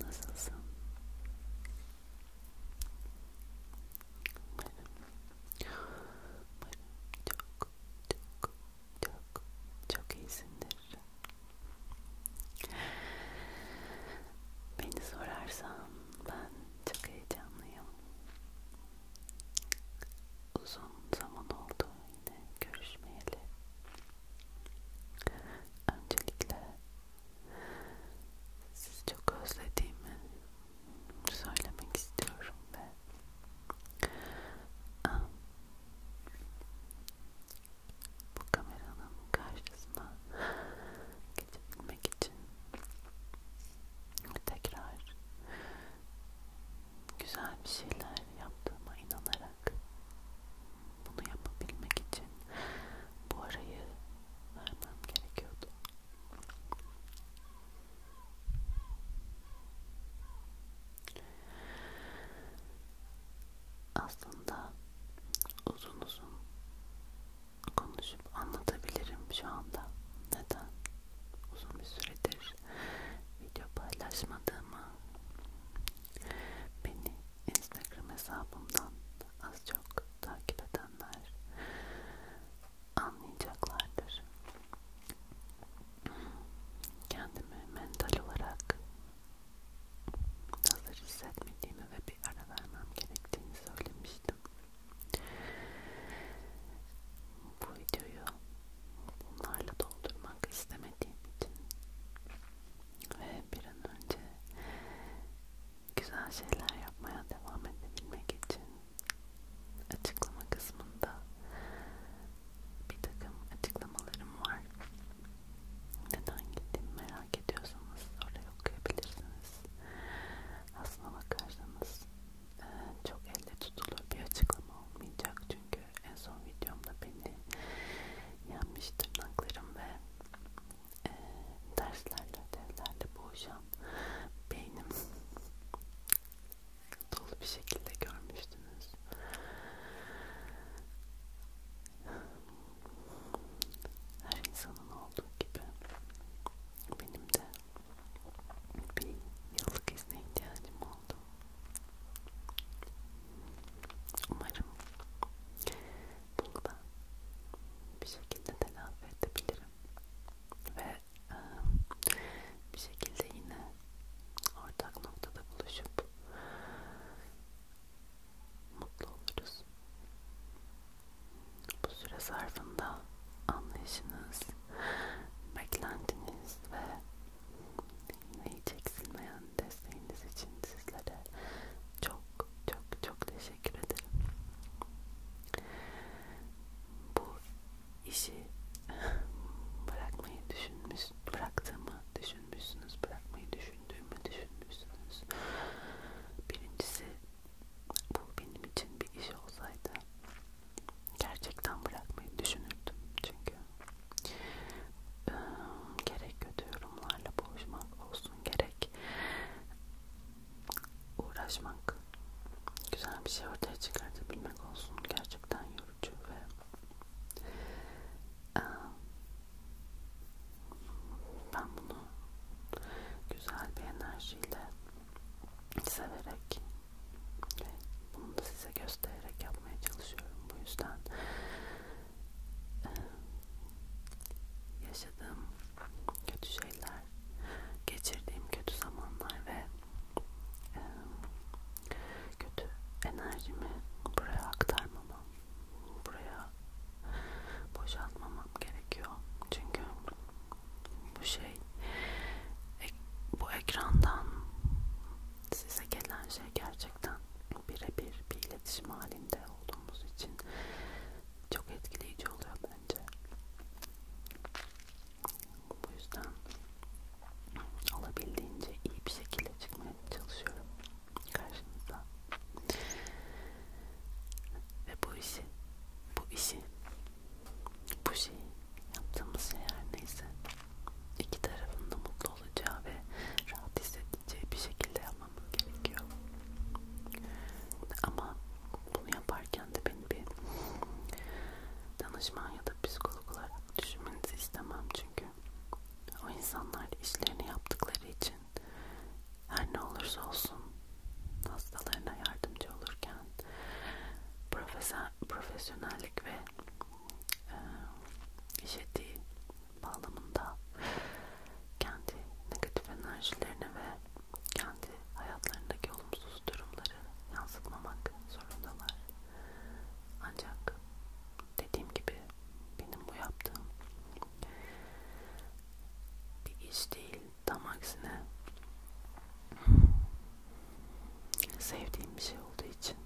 Nasılsın? Umarım, umarım çok çok çok çok iyisindir. Beni sorarsan ben çok heyecanlıyım uzun zaman oldu yine görüşmeyeli. Öncelikle sizi çok özlediğimi söylemek istiyorum ve bu kameranın karşısına geçebilmek için tekrar güzel bir şeyler yaptığıma inanarak bunu yapabilmek için bu arayı vermem gerekiyordu. Aslında uzun uzun konuşup anlatabilirim şu anda. Neden? Uzun bir süredir video paylaşmadığımı beni instagram hesabımdan az çok takip edenler anlayacaklardır kendimi mental olarak hazır hissetmediğimi ve bir ara vermem gerektiğini söylemiştim bu videoyu bunlarla doldurmak istemediğim için ve bir an önce güzel şeyler yapmaya devam edebilmek için açıklama kısmında bir takım açıklamalarım var. Neden gittiğimi merak ediyorsanız oraya okuyabilirsiniz. Aslına bakarsanız çok elde tutulur bir açıklama olmayacak çünkü en son videomda beni yanmış tırnaklarım ve e, derslerle ödevlerle boğuşan beynim dolu bir şekilde görmüştünüz. Her insanın olduğu gibi benim de bir yıllık izne ihtiyacım oldu. Umarım bunu da bir şekilde telafi edebilirim ve e, bir şekilde yine ortak noktada buluşup mutlu oluruz. Bu süre zarfında anlayışınız, beklentiniz ve yine hiç eksilmeyen desteğiniz için sizlere çok çok çok teşekkür ederim. Bu işi bırakmayı düşünmüş, bıraktığımı düşünmüşsünüz, bırakmayı düşündüğümü düşünmüşsünüz. Birincisi bu benim için bir iş olsaydı gerçekten bırakmayı düşünürdüm çünkü ee, gerek kötü yorumlarla boğuşmak olsun gerek uğraşmak güzel bir şey ortaya çıkartabilmek olsun gerçekten yorucu ve ee, ben bunu güzel bir enerjiyle severek ve bunu da size göstererek yapmaya çalışıyorum. Bu yüzden yaşadığım kötü şeyler, geçirdiğim kötü zamanlar ve kötü enerjimi buraya aktarmamam, buraya boşaltmamam gerekiyor. Çünkü bu şey ek, bu ekrandan size gelen şey gerçekten birebir bir iletişim halinde olduğumuz için çok etkileyici oluyor bence. Bu yüzden olabildiğince iyi bir şekilde çıkmaya çalışıyorum karşınıza. Ve bu işi, bu işi bu şey yaptığımız şey her neyse iki tarafında mutlu olacağı ve rahat hissedeceği bir şekilde yapmamız gerekiyor ama bunu yaparken de beni bir danışman ya da psikolog olarak düşünmenizi istemem çünkü o insanlar işlerini yaptıkları için her ne olursa olsun hastalarına yardımcı olurken profesyonel profesyonellik ve e, iş etiği bağlamında kendi negatif enerjilerini ve kendi hayatlarındaki olumsuz durumları yansıtmamak zorundalar. Ancak dediğim gibi benim bu yaptığım bir iş değil, tam aksine Sevdiğim bir şey olduğu için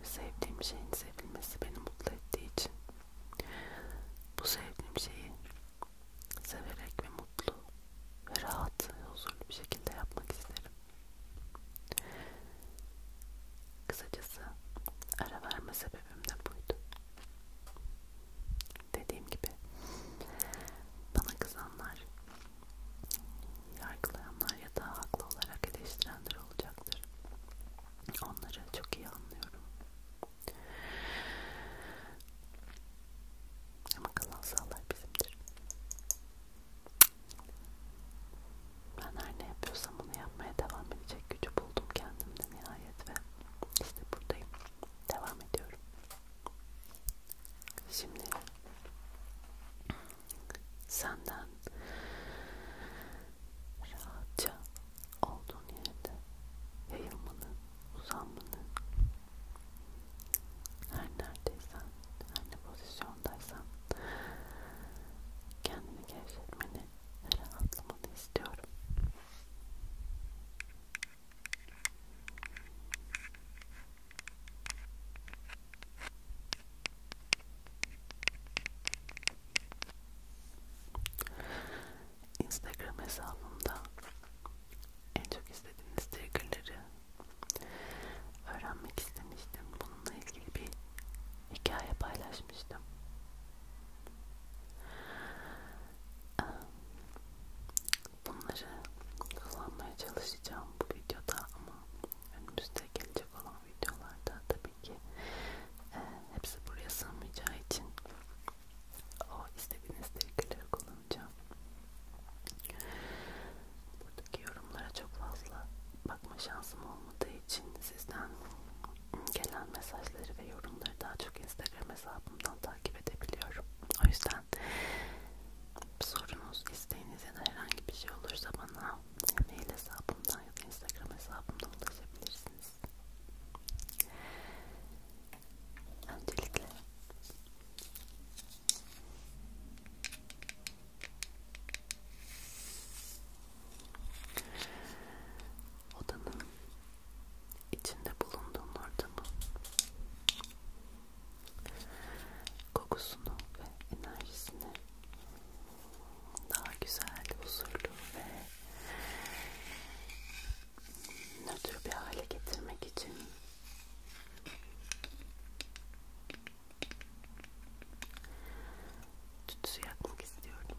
ve sevdiğim şeyin sevilmesi beni mutlu ettiği için bu sevdiğim şeyi severek ve mutlu ve rahat ve huzurlu bir şekilde yapmak isterim. Kısacası ara verme sebebim de buydu. Dediğim gibi bana kızanlar Yargılayanlar ya da haklı olarak eleştirenler olacaktır. Onları çok iyi anlıyorum. Ama kalan sağlar bizimdir. Ben her ne yapıyorsam onu yapmaya devam edecek gücü buldum kendimde nihayet ve işte buradayım. Devam ediyorum. Şimdi senden rahatça olduğun yerde yayılmanı, uzanmanı her neredeysen, her ne pozisyondaysan kendini gevşetmeni ve rahatlamanı istiyorum. Instagram hesabımda en çok istediğiniz triggerleri öğrenmek istemiştim. Bununla ilgili bir hikaye paylaşmıştım bunları kullanmaya çalışacağım bu videoda ama önümüzde gelecek olan videolarda tabii ki e, hepsi buraya sığmayacağı için o istediğiniz triggerleri kullanacağım. Buradaki yorumlara çok fazla bakma şansım olmadığı için sizden gelen mesajları ve yorumları daha çok Instagram hesabımdan takip edebiliyorum. O yüzden sorunuz, isteğiniz ya da herhangi bir şey olursa bana mail hesabımdan ya da instagram hesabımdan ulaşabilirsiniz. Öncelikle odanın içinde bulunduğun ortamı kokusunu ve enerjisini daha güzel, huzurlu ve nötr bir hale getirmek için tütsü yakmak istiyorum.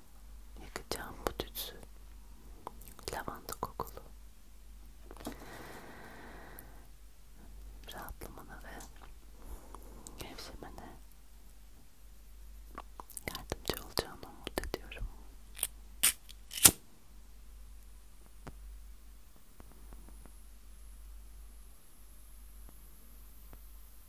Yakacağım bu tütsü. Lavanta kokulu. Rahatlamana ve gevşemene yardımcı olacağını umut ediyorum.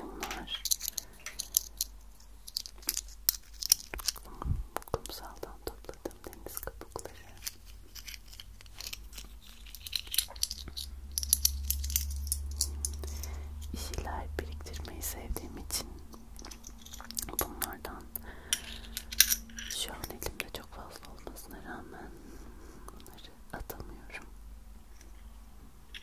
Bunlar kumsaldan topladığım deniz kabukları. Bir şeyler biriktirmeyi sevdiğim için bunlardan şu an elimde çok fazla olmasına rağmen bunları atamıyorum.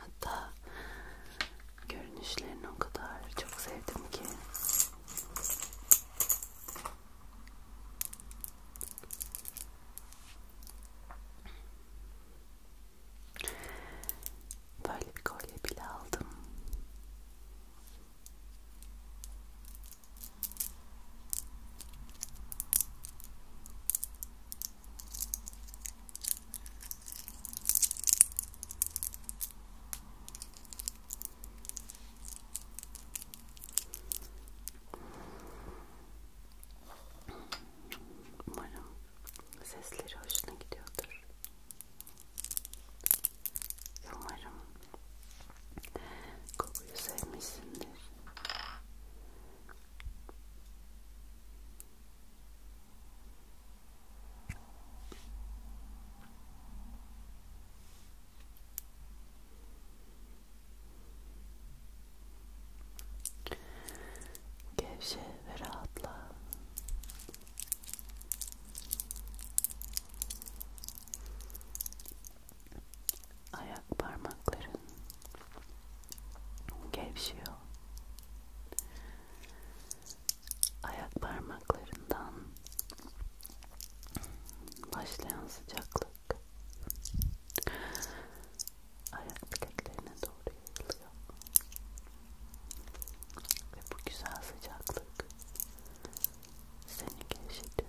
Hatta görünüşlerini o kadar çok sevdim ki böyle bir kolye bile aldım Umarım sesleri hoşuna gidiyordur. Umarım kokuyu sevmişsindir. Gevşe ve rahatla ayak parmakların gevşiyor ayak parmaklarından başlayan sıcaklık ayak bileklerine doğru yayılıyor ve bu güzel sıcaklık seni gevşetiyor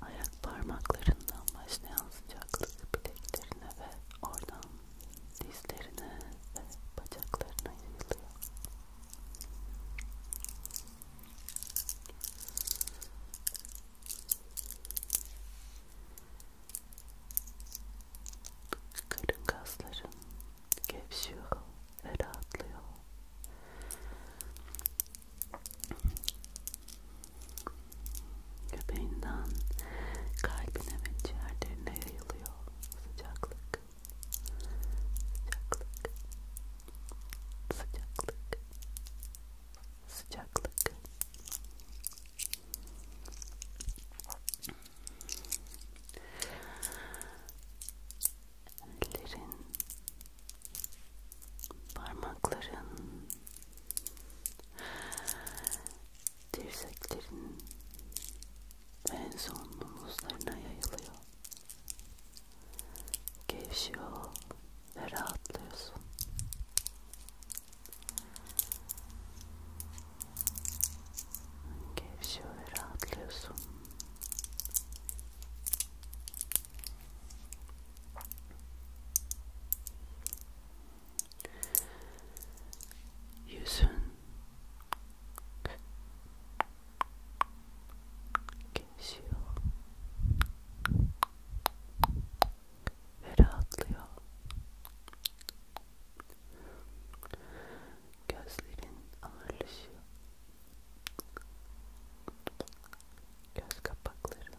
ayak parmaklarından başlayan sıcaklık bileklerine ve oradan dizlerine ve bacaklarına yayılıyor. Karın kasların gevşiyor ve rahatlıyor. Göbeğinden kalbine ve ciğerlerine yayılıyor sıcaklık. Sıcaklık. Sıcaklık. Sıcaklık. Ellerin, parmakların dirseklerin en son omuzlarına yayılıyor. Gevşiyor ve rahatlıyorsun. Gevşiyor ve rahatlıyorsun yüzün gevşiyor ve rahatlıyor gözlerin ağırlaşıyor göz kapakların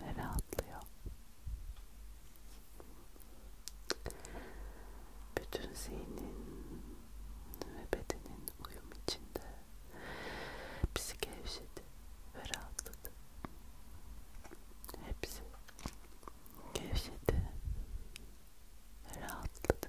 ve rahatlıyor. Bütün zihnin ve bedenin uyum içinde bizi gevşedi ve rahatladı. Hepsi gevşedi ve rahatladı.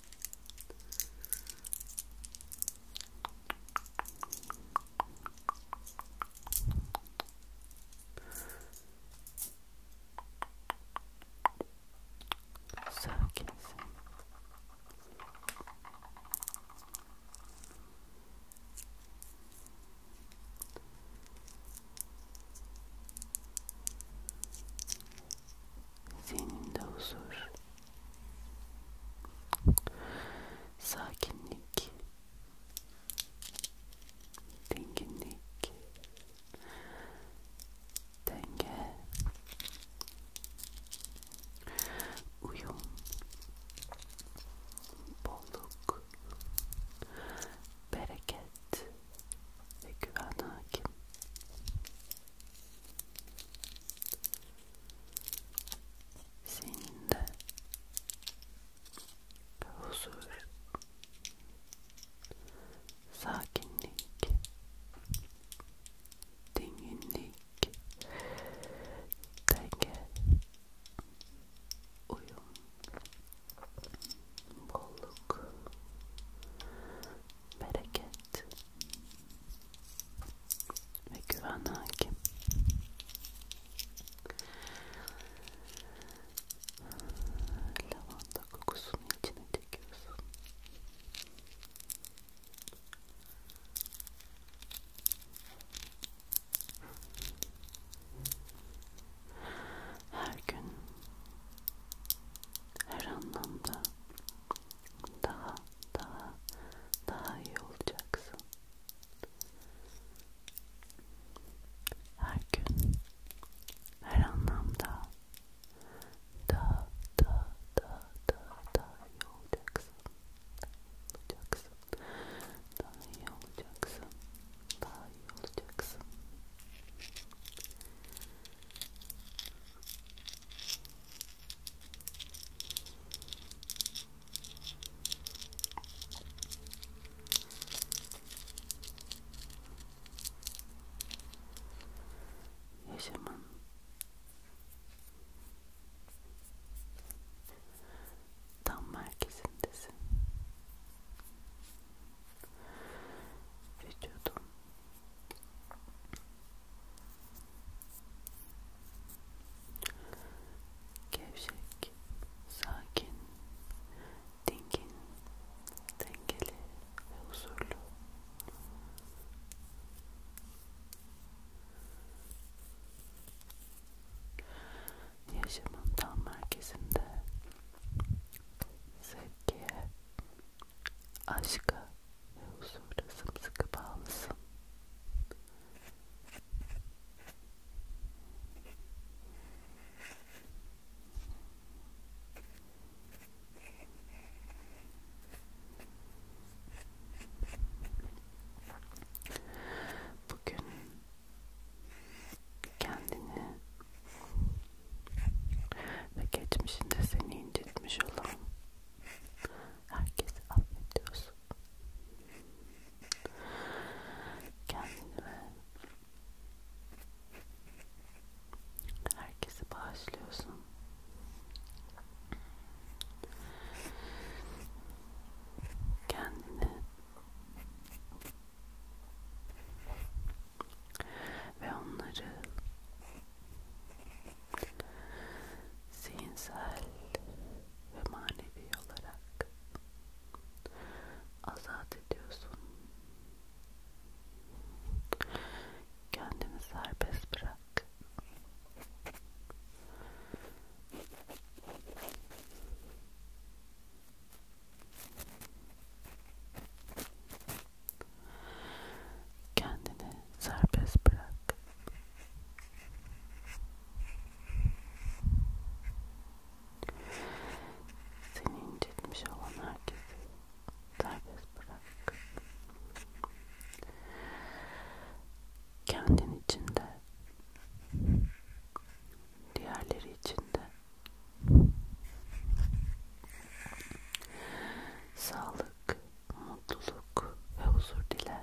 Sakinsin. Senin de huzur sakinlik, dinginlik, denge, uyum, bolluk, bereket ve güven hakim senin de huzur, sakinlik, dinginlik, denge, uyum, bolluk, bereket ve güven hakim. Lavanta kokusunu içine çekiyorsun. Her gün her anlamda daha daha daha iyi olacaksın. Her gün, her anlamda daha daha daha daha daha iyi olacaksın. olacaksın. Daha iyi olacaksın. Daha iyi olacaksın. Yaşamın tam merkezindesin. Vücudun Gevşek, sakin, dingin, dengeli ve huzurlu. Yaşamın tam merkezinde sevgiye, aşka ve huzura sımsıkı bağlısın. Bugün kendini ve geçmişinde seni incitmiş olan herkesi affediyorsun. Kendini ve herkesi bağışlıyorsun. Kendini ve onları zihinsel ve manevi olarak azat ediyorsun. Kendini serbest bırak. Kendini serbest bırak. Seni incitmiş olan herkesi serbest bırak. Kendin içinde, diğerleri içinde sağlık, mutluluk ve huzur dile.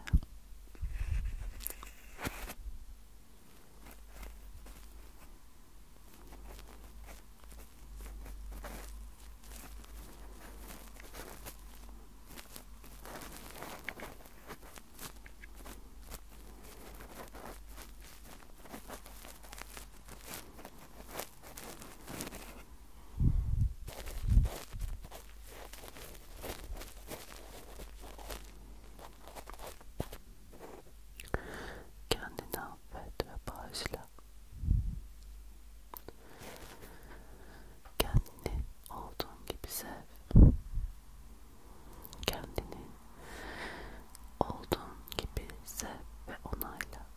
Kendini affet ve bağışla. Kendini olduğun gibi sev. Kendini olduğun gibi sev ve onayla.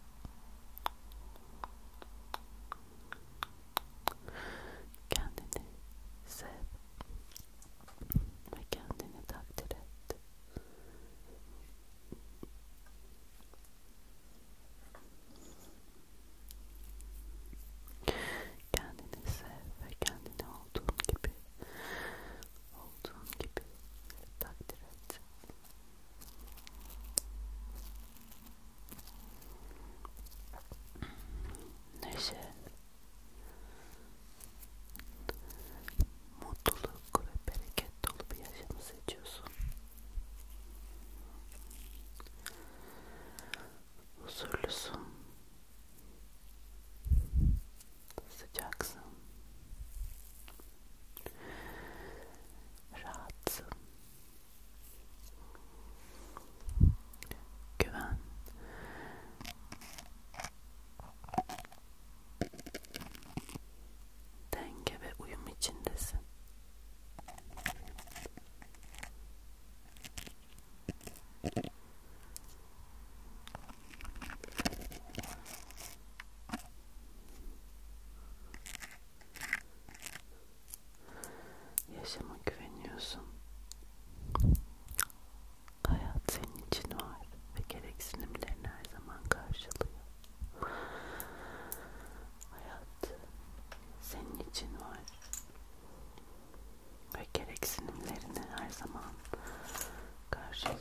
Kendini sev ve kendini takdir et. Kendini sev ve kendini olduğun gibi, olduğun gibi takdir et. neşe, mutluluk ve bereket dolu bir yaşamı seçiyorsun. Huzurlusun, sıcaksın, rahatsın Güven. Denge ve uyum içindesin. Yaşama güveniyorsun. Hayat senin için var ve gereksinimlerini her zaman karşılıyor. Hayat senin için var ve gereksinimlerini her zaman karşılıyor.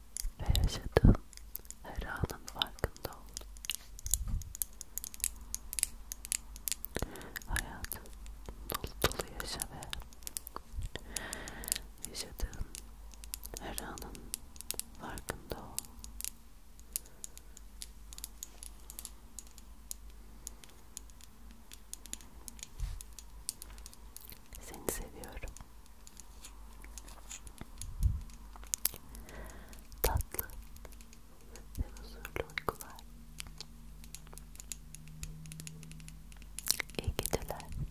ve yaşadığım her anın farkında oldum. Hayatın dolu dolu yaşa ve yaşadığın her anın farkında ol. Seni seviyorum. Tatlı ve huzurlu uykular. İyi geceler. İyi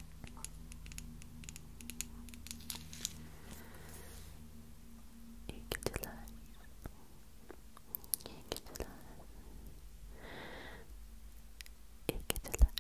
geceler. İyi geceler. İyi geceler.